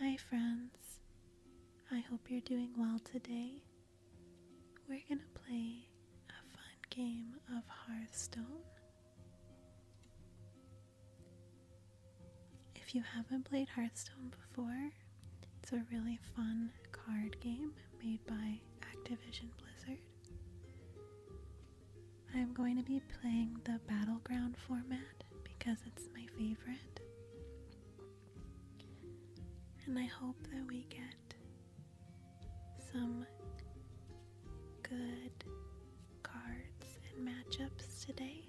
Hi, friends. I hope you're doing well today. We're going to play a fun game of Hearthstone. If you haven't played Hearthstone before, it's a really fun card game made by Activision Blizzard. I'm going to be playing the battleground format because it's my favorite. And I hope that we get some good cards and matchups today.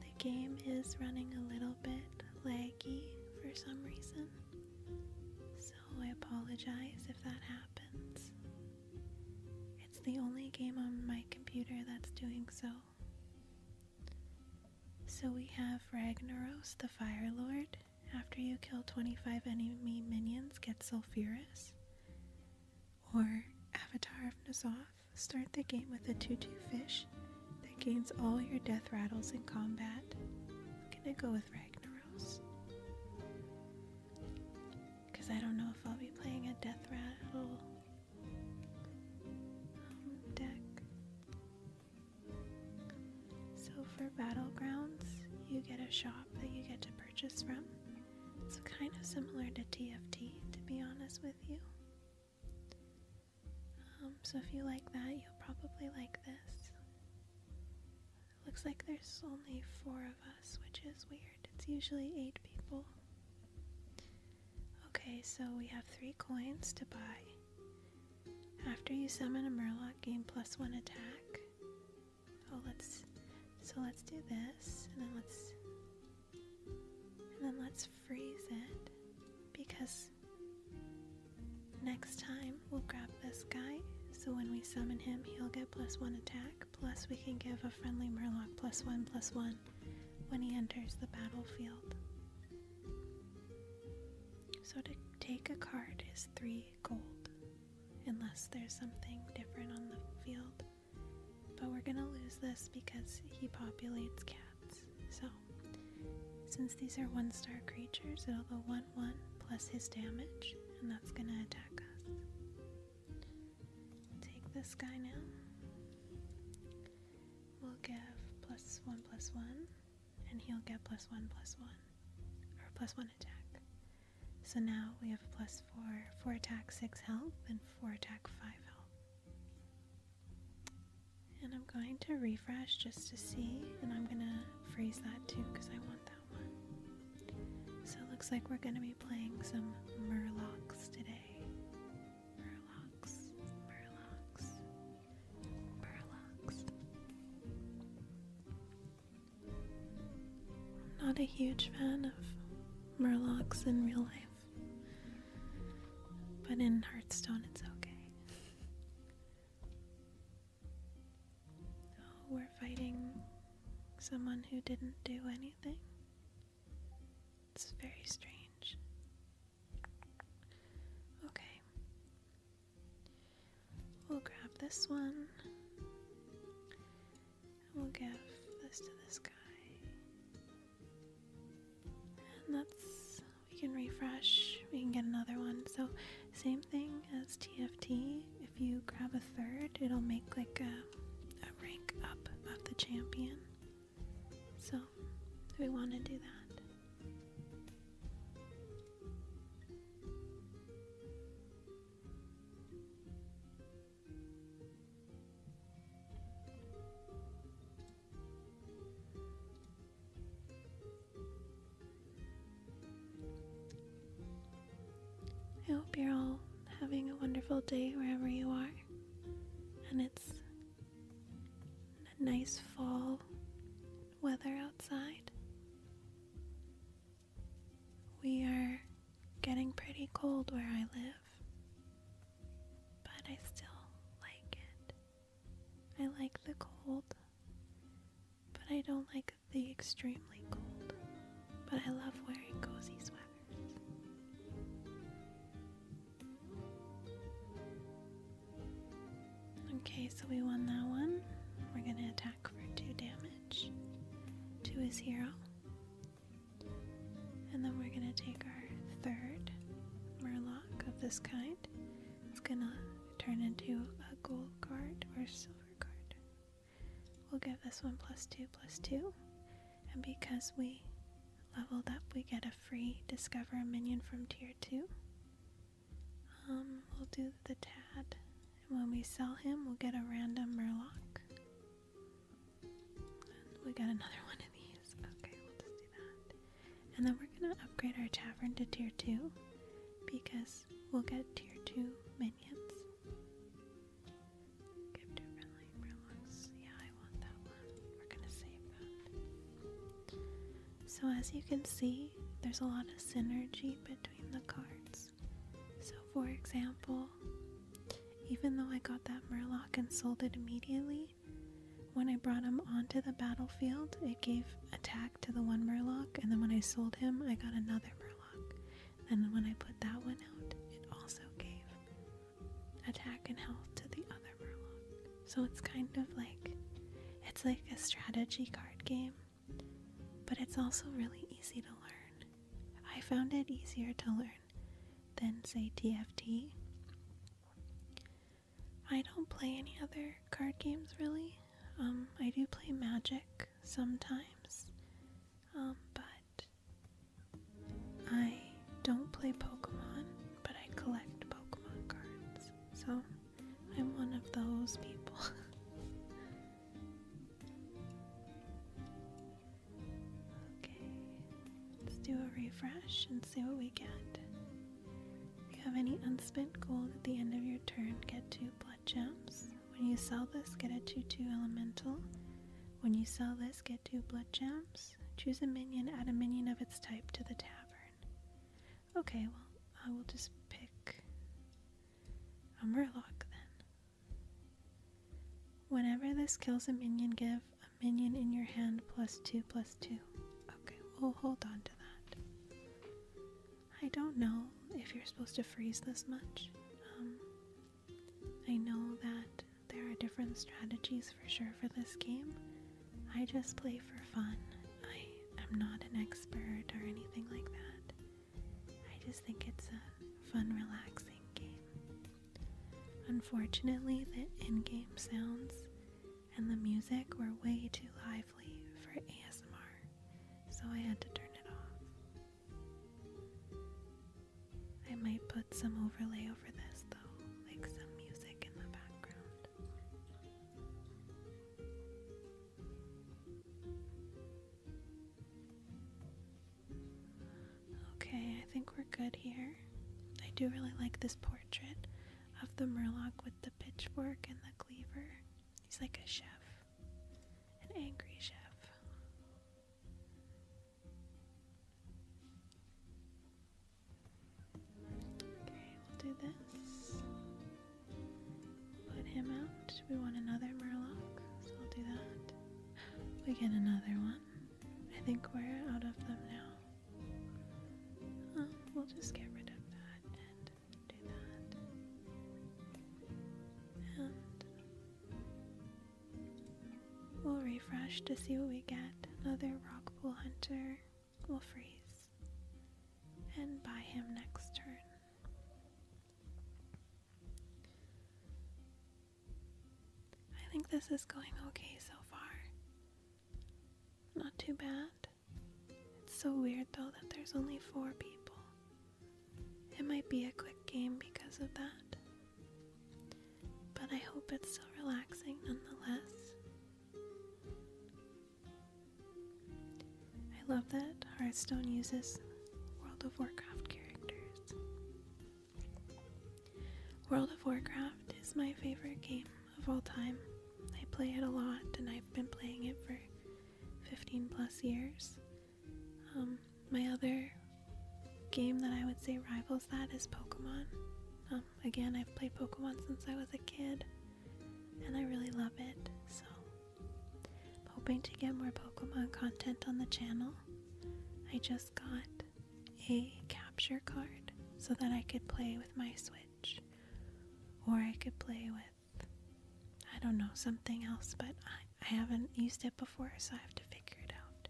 The game is running a little bit laggy for some reason, I apologize if that happens. It's the only game on my computer that's doing so. So we have Ragnaros the Fire Lord. After you kill 25 enemy minions, get Sulphurous. Or Avatar of Nazoth. Start the game with a 2 2 fish that gains all your death rattles in combat gonna go with Ragnaros. Because I don't know if I'll be playing a Death Rattle um, deck. So for Battlegrounds, you get a shop that you get to purchase from. It's kind of similar to TFT, to be honest with you. Um, so if you like that, you'll probably like this looks like there's only four of us, which is weird. It's usually eight people. Okay, so we have three coins to buy. After you summon a Murloc, gain plus one attack. Oh, let's. So let's do this, and then let's. And then let's freeze it. Because Next time, we'll grab this guy, so when we summon him, he'll get plus one attack, plus we can give a friendly Murloc plus one plus one when he enters the battlefield. So to take a card is three gold, unless there's something different on the field. But we're gonna lose this because he populates cats, so since these are one star creatures, it'll go 1 1 plus his damage, and that's going to attack us. Take this guy now. We'll give plus 1 plus 1, and he'll get plus 1 plus 1, or plus 1 attack. So now we have plus 4, 4 attack, 6 health, and 4 attack, 5 health. And I'm going to refresh just to see, and I'm going to freeze that too because I want that one. So it looks like we're going to be playing some murlocs today. Murlocs, murlocs, murlocs. not a huge fan of murlocs in real life, but in Hearthstone it's okay. Oh, we're fighting someone who didn't do anything? It's very strange. Okay. We'll grab this one. we'll give this to this guy. And that's we can refresh, we can get another one. So same thing as TFT, if you grab a third, it'll make like a, rank up of the champion. So we want to do that. I hope you're all having a wonderful day wherever you are. And it's a nice fall weather outside. We are getting pretty cold where I live, but I still like it. I like the cold, but I don't like the extremely cold. But I love wearing cozy sweaters. Okay, so we won that one. We're gonna attack for two damage to his hero. And then we're gonna take our third Murloc of this kind it's gonna turn into a gold card or silver card. We'll give this one plus two plus two. And because we leveled up, we get a free discover a minion from tier two. Um, we'll do the Tad. And when we sell him, we'll get a random Murloc. we got another one of these. Okay, we'll do that. And then we're going to upgrade our tavern to tier 2 because we'll get tier 2 minions. So, as you can see, there's a lot of synergy between the cards. So, for example, even though I got that Murloc and sold it immediately, when I brought him onto the battlefield, it gave attack to the one Murloc, and then when I sold him, I got another Murloc. And when I put that one out, it also gave attack and health to the other Murloc. So it's kind of like it's like a strategy card game, but it's also really easy to learn. I found it easier to learn than, say, TFT. I don't play any other card games really. Um, I do play Magic sometimes, um, but I don't play Pokemon, but I collect Pokemon cards. So I'm one of those people. okay, let's do a refresh and see what we get. If you have any unspent gold at the end of your turn, get two blood gems. When you sell this, get a 2 2 elemental. When you sell this, get two blood gems. Choose a minion, add a minion of its type to the tavern. Okay, well, I will just pick a murloc then. Whenever this kills a minion, give a minion in your hand plus two plus two. Okay, we hold on I don't know if you're supposed to freeze this much. Um, I know that there are different strategies for sure for this game. I just play for fun. I am not an expert or anything like that. I just think it's a fun, relaxing game. Unfortunately, the in game sounds and the music were way too lively for ASMR, so I had to turn it off. I might put some overlay over this though, like some music in the background. Okay, I think we're good here. I do really like this portrait of the murloc with the pitchfork and the cleaver. He's like a chef, an angry chef. Okay, we'll do this. Put him out. We want another murloc, so we'll do that. We get another one. I think we're out of them now we'll just get rid of that and do that. we'll refresh to see what we get. Another rock pool hunter will freeze and buy him next turn. I think this is going okay so far. Not too bad. It's so weird though that there's only four people. It might be a quick game because of that. But I hope it's still relaxing nonetheless. I love that Hearthstone uses World of Warcraft characters. World of Warcraft is my favorite game of all time. I play it a lot and I've been playing it for 15 plus years. Um, my other game that I would say rivals that is Pokemon. Um, again, I've played Pokemon since I was a kid and I really love it, so I'm hoping to get more Pokemon content on the channel. I just got a capture card so that I could play with my Switch. Or I could play with, I don't know, something else, but I, haven't used it before, so I have to figure it out.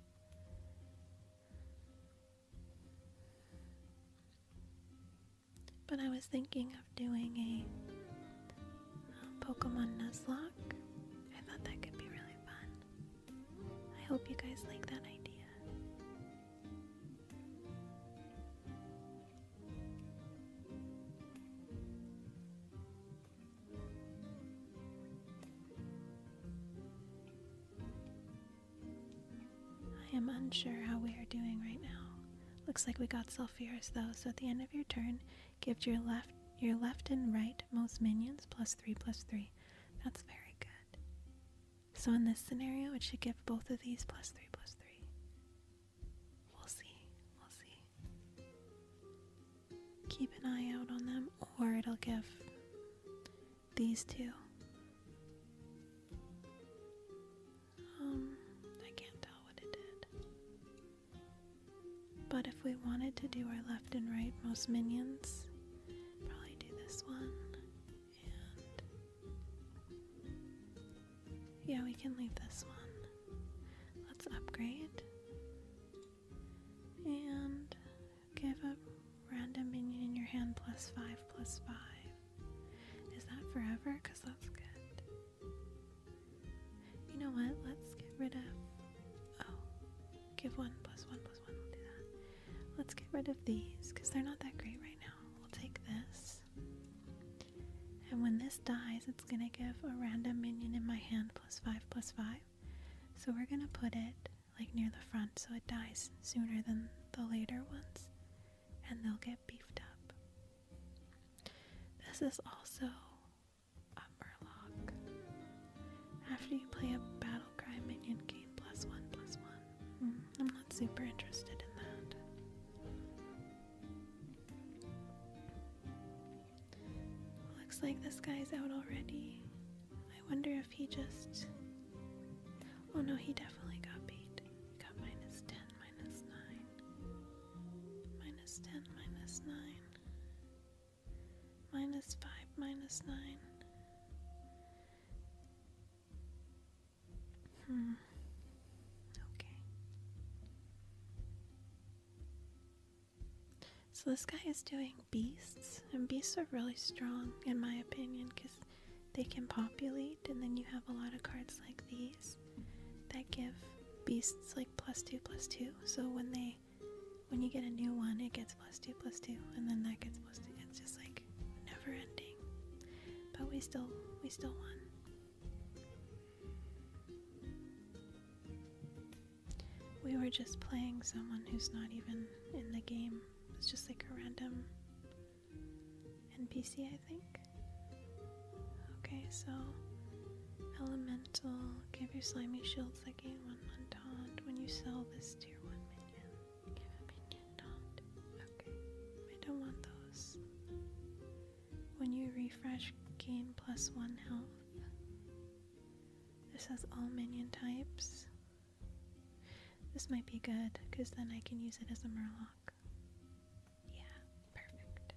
But I was thinking of doing a, a um, Pokemon Nuzlocke. I thought that could be really fun. I hope you guys like that idea. I am unsure how we are doing right now. Looks like we got sulfurous though, so at the end of your turn, give your left your left and right most minions plus three plus three. That's very good. So in this scenario, it should give both of these plus 3 plus 3. We'll see. We'll see. Keep an eye out on them, or it'll give these two. Um, I can't tell what it did. But if we wanted to do our left and right most minions, probably do this one yeah, we can leave this one. Let's upgrade. And give a random minion in your hand plus five plus five. Is that forever? Because that's good. You know what? Let's get rid of. Oh, give one plus one plus one. Let's get rid of these because they're not that great right now. We'll take this. And when this dies, it's going to give a random minion in my hand plus 5 plus 5. So we're going to put it like near the front so it dies sooner than the later ones. And they'll get beefed up. This is also a murloc. After you play a battle cry, minion gain plus 1 plus 1. Mm-hmm. I'm not super interested in that. Looks like this guy's out already. I wonder if he just. Oh no, he definitely got beat. He got minus 10, minus 9. Minus 10, minus 9. Minus 5, minus 9. Hmm. Okay. So this guy is doing beasts, and beasts are really strong in my opinion because they can populate, and then you have a lot of cards like these that give beasts like plus two plus two. So when they when you get a new one, it gets plus two plus two, and then that gets it's just like never ending but we still we still won we were just playing someone who's not even in the game it's just like a random npc i think okay so elemental give your slimy shields that gain one montage when you sell this tier 1 minion Give opinion not. Okay. I don't want those. When you refresh, gain plus one health. This has all minion types. This might be good, because then I can use it as a murloc. Yeah, perfect.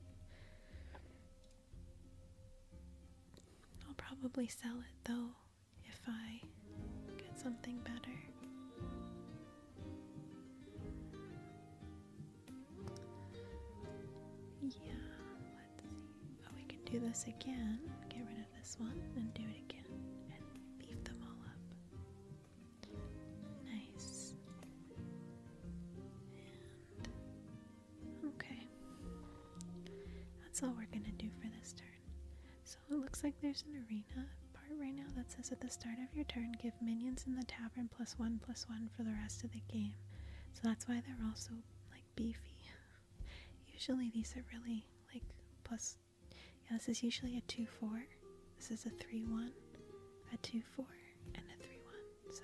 I'll probably sell it though if I get something better. Yeah, let's see. Oh, we can do this again. Get rid of this one and do it again and leave them all up. Nice. okay. That's all we're going to do for this turn. So it looks like there's an arena part right now that says at the start of your turn, give minions in the tavern plus one plus one for the rest of the game. So that's why they're also like beefy. usually these are really like plus. Yeah, this is usually a 2 4. This is a 3 1, a 2 4, and a 3 1. So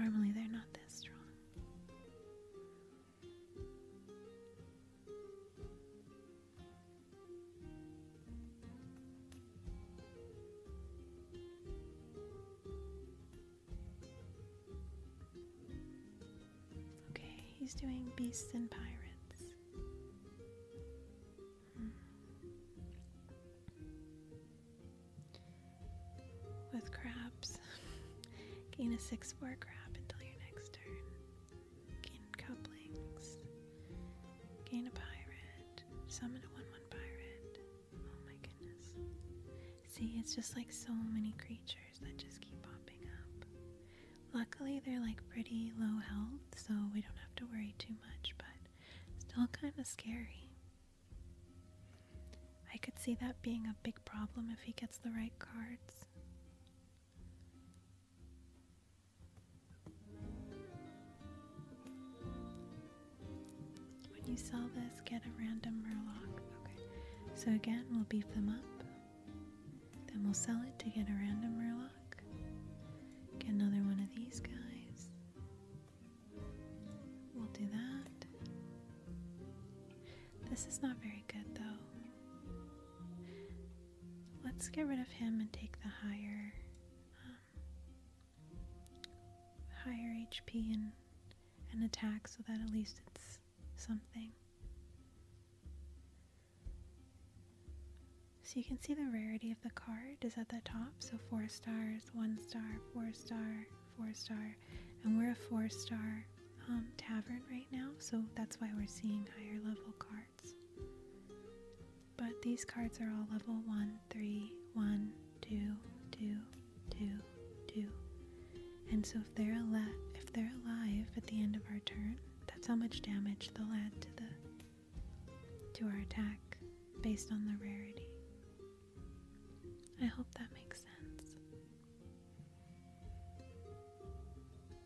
normally they're not this strong. Okay, he's doing beasts and pirates. Hmm. With crabs, gain a six-four crab until your next turn gain couplings, gain a pirate, summon a 1 1 pirate. Oh my goodness. See, it's just like so many creatures that just keep popping up. Luckily, they're like pretty low health, so we don't have to worry too much, but still kind of scary. I could see that being a big problem if he gets the right cards. When you sell this, get a random Murloc. Okay, so again, we'll beef them up. Then we'll sell it to get a random Murloc. Get another one of these guys. We'll do that. This is not very good though. Let's get rid of him and take the higher, um, higher HP and an attack, so that at least it's something. So you can see the rarity of the card is at the top. So four stars, one star, four star, four star, and we're a four star um, tavern right now. So that's why we're seeing higher level cards. But these cards are all level 1, 3, 1, 2, 2, 2, 2. And so if they're alive at the end of our turn, that's how much damage they'll add to our attack based on the rarity. I hope that makes sense.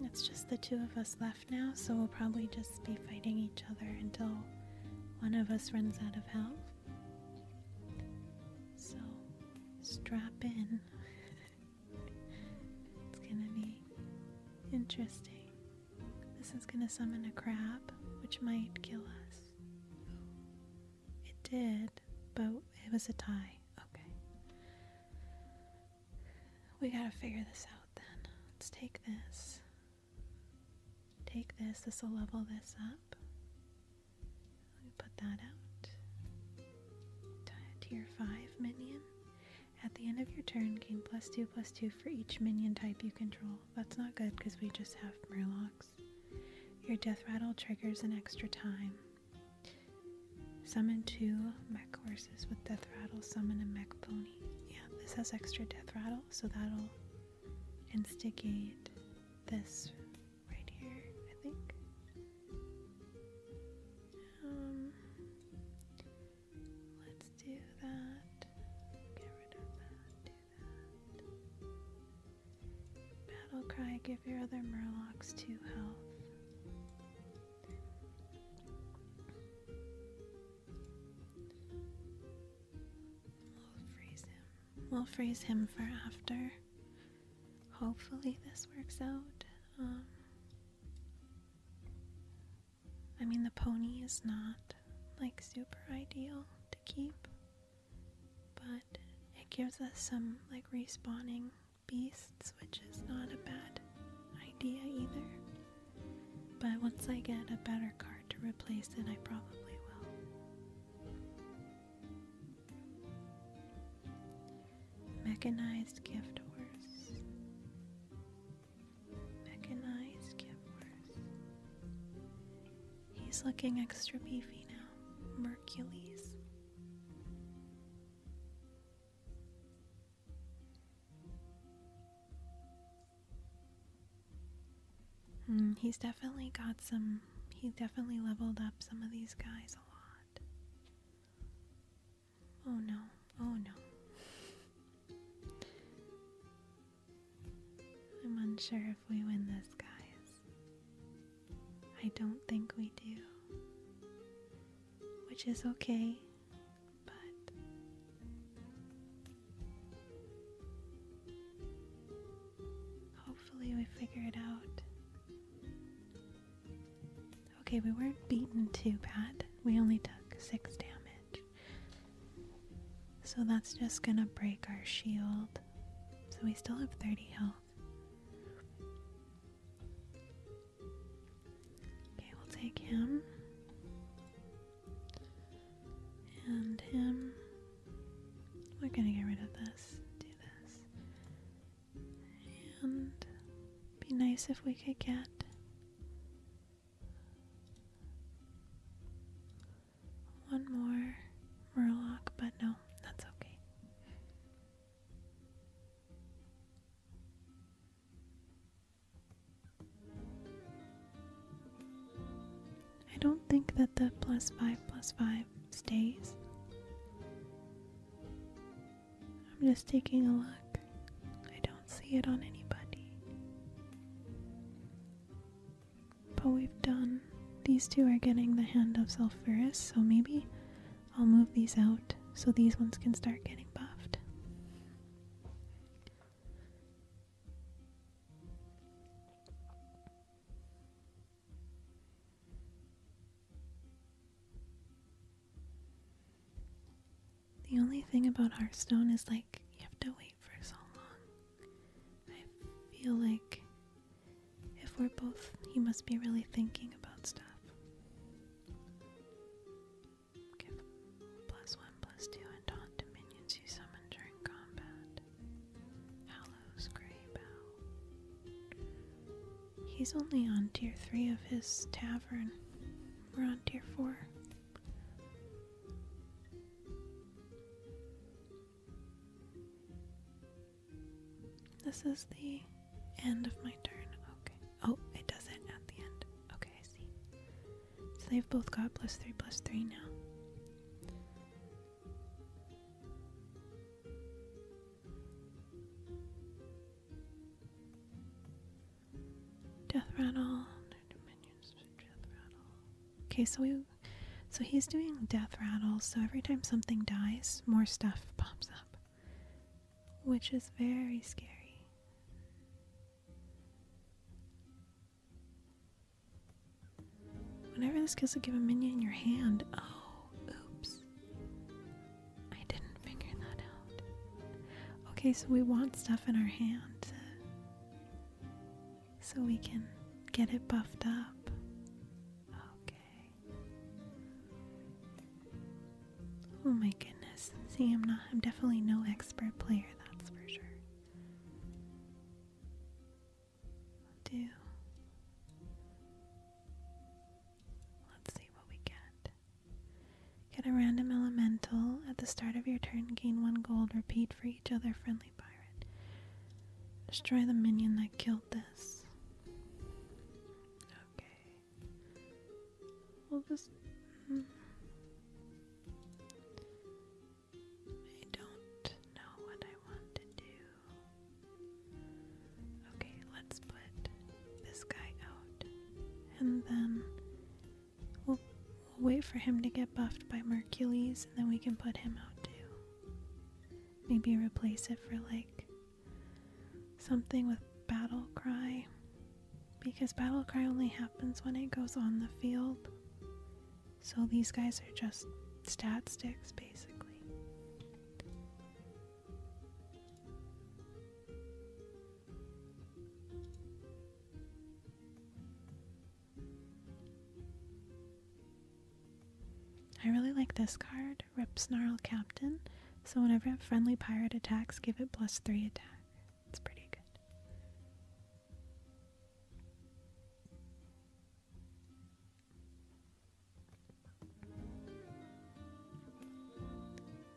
It's just the two of us left now, so we'll probably just be fighting each other until one of us runs out of health. So strap in. it's gonna be interesting. This is going to summon a crab, which might kill us. It did, but it was a tie. Okay. We got to figure this out then. Let's take this. Take this. This will level this up. Let me put that out. Tier 5 minion. At the end of your turn, gain plus 2 plus 2 for each minion type you control. That's not good because we just have murlocs. Your death rattle triggers an extra time. Summon two mech horses with death rattle, summon a mech pony. Yeah, this has extra death rattle, so that'll instigate this right here, I think. Um, Let's do that. Get rid of that. Battle cry. Give your other murlocs two health. We'll freeze him. We'll freeze him for after. Hopefully this works out. Um, I mean, the pony is not like super ideal to keep, but it gives us some like respawning beasts, which is not a bad idea either. But once I get a better card to replace it, I probably will. Mechanized gift horse. Mechanized Givers. He's looking extra beefy now. Mercules. Hmm, he's definitely got some. He definitely leveled up some of these guys a lot. Oh no, oh no. I'm unsure if we win this, guys. I don't think we do. Which is okay, but. Hopefully, we figure it out. Okay, we weren't beaten too bad. We only took six damage. So that's just gonna break our shield. So we still have 30 health. Okay, we'll take him. And him. We're gonna get rid of this. Do this. And be nice if we could get one more Murloc, but no, that's okay. I don't think that the plus five plus five stays. I'm just taking a look. I don't see it on anybody. But we've done. These two are getting the hand of Sulphurus, so maybe I'll move these out so these ones can start getting buffed. The only thing about Hearthstone is like you have to wait for so long. I feel like if we're both, he must be really thinking about stuff. Give plus one, plus two, and taunt to you summon during combat. Hallows Grey Bow. He's only on tier 3 of his tavern. We're on tier four. This is the end of my turn. Okay. Oh, it does it at the end. Okay, I see. So they've both got plus three, plus three now. Death rattle. Okay, so we so he's doing death rattle, so every time something dies, more stuff pops up. Which is very scary. Whenever this kills a minion in your hand, oh, oops. I didn't figure that out. Okay, so we want stuff in our hand uh, so we can get it buffed up. Okay. Oh my goodness. See, I'm not I'm definitely no expert player, that's for sure. do Let's see what we get. Get a random elemental. At the start of your turn, gain one gold. Repeat for each other friendly pirate. Destroy the minion that killed this. Okay. We'll just. Hmm. I don't know what I want to do. Okay, let's put this guy out. And then we'll, wait for him to get buffed by Mercules, and then we can put him out too. Maybe replace it for like something with Battle Cry. Because Battle Cry only happens when it goes on the field. So these guys are just stat sticks basically. I really like this card, Rip Snarl Captain. So whenever a friendly pirate attacks, give it plus 3 attack. It's pretty good.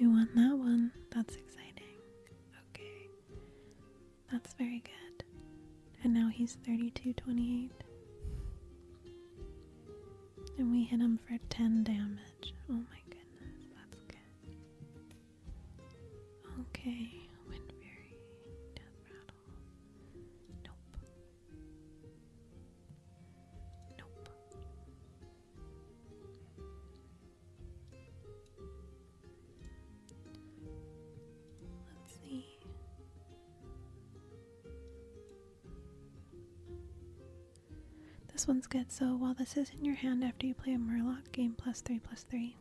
We want that one. That's exciting. Okay. That's very good. And now he's 3228. And we hit him for 10 damage. Oh my goodness, that's good. Okay, Wind Fury, Death Rattle. Nope. Nope. Let's see. This one's good. So while this is in your hand after you play a Murlock game plus three plus three.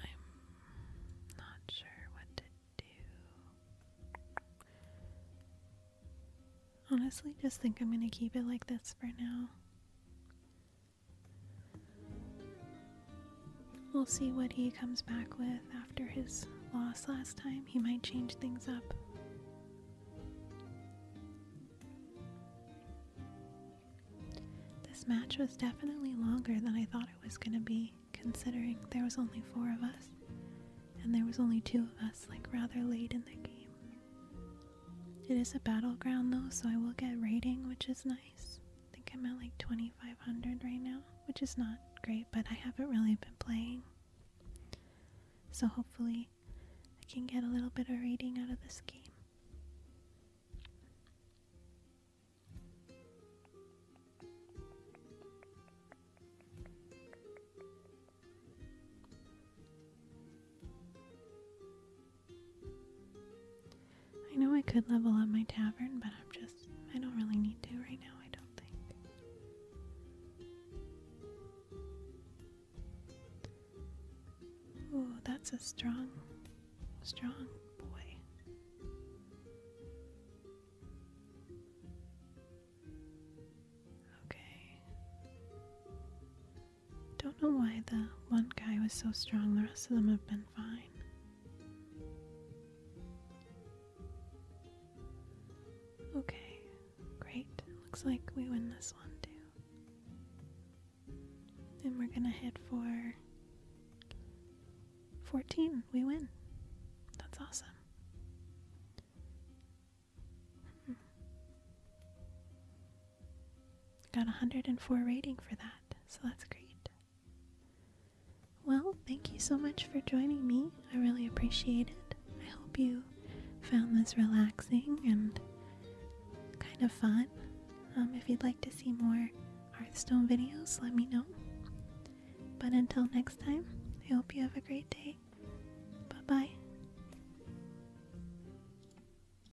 I'm not sure what to do. Honestly, just think I'm gonna keep it like this for now. We'll see what he comes back with after his loss last time. He might change things up. This match was definitely longer than I thought it was going to be, considering there was only four of us, and there was only two of us, like, rather late in the game. It is a battleground though, so I will get rating, which is nice. I think I'm at like 2500 right now, which is not great, but I haven't really been playing. So hopefully I can get a little bit of rating out of this game. I know I could level up my tavern, but I'm just, I don't really need to right now, I don't think. Ooh, that's a strong, strong boy. Okay. Don't know why the one guy was so strong, the rest of them have been fine. Okay, great. Looks like we win this one too. And we're gonna head for 14. We win. That's awesome. Got 104 rating for that, so that's great. Well, thank you so much for joining me. I really appreciate it. I hope you found this relaxing and kind of fun. Um, if you'd like to see more Hearthstone videos, let me know. But until next time, I hope you have a great day. Bye bye.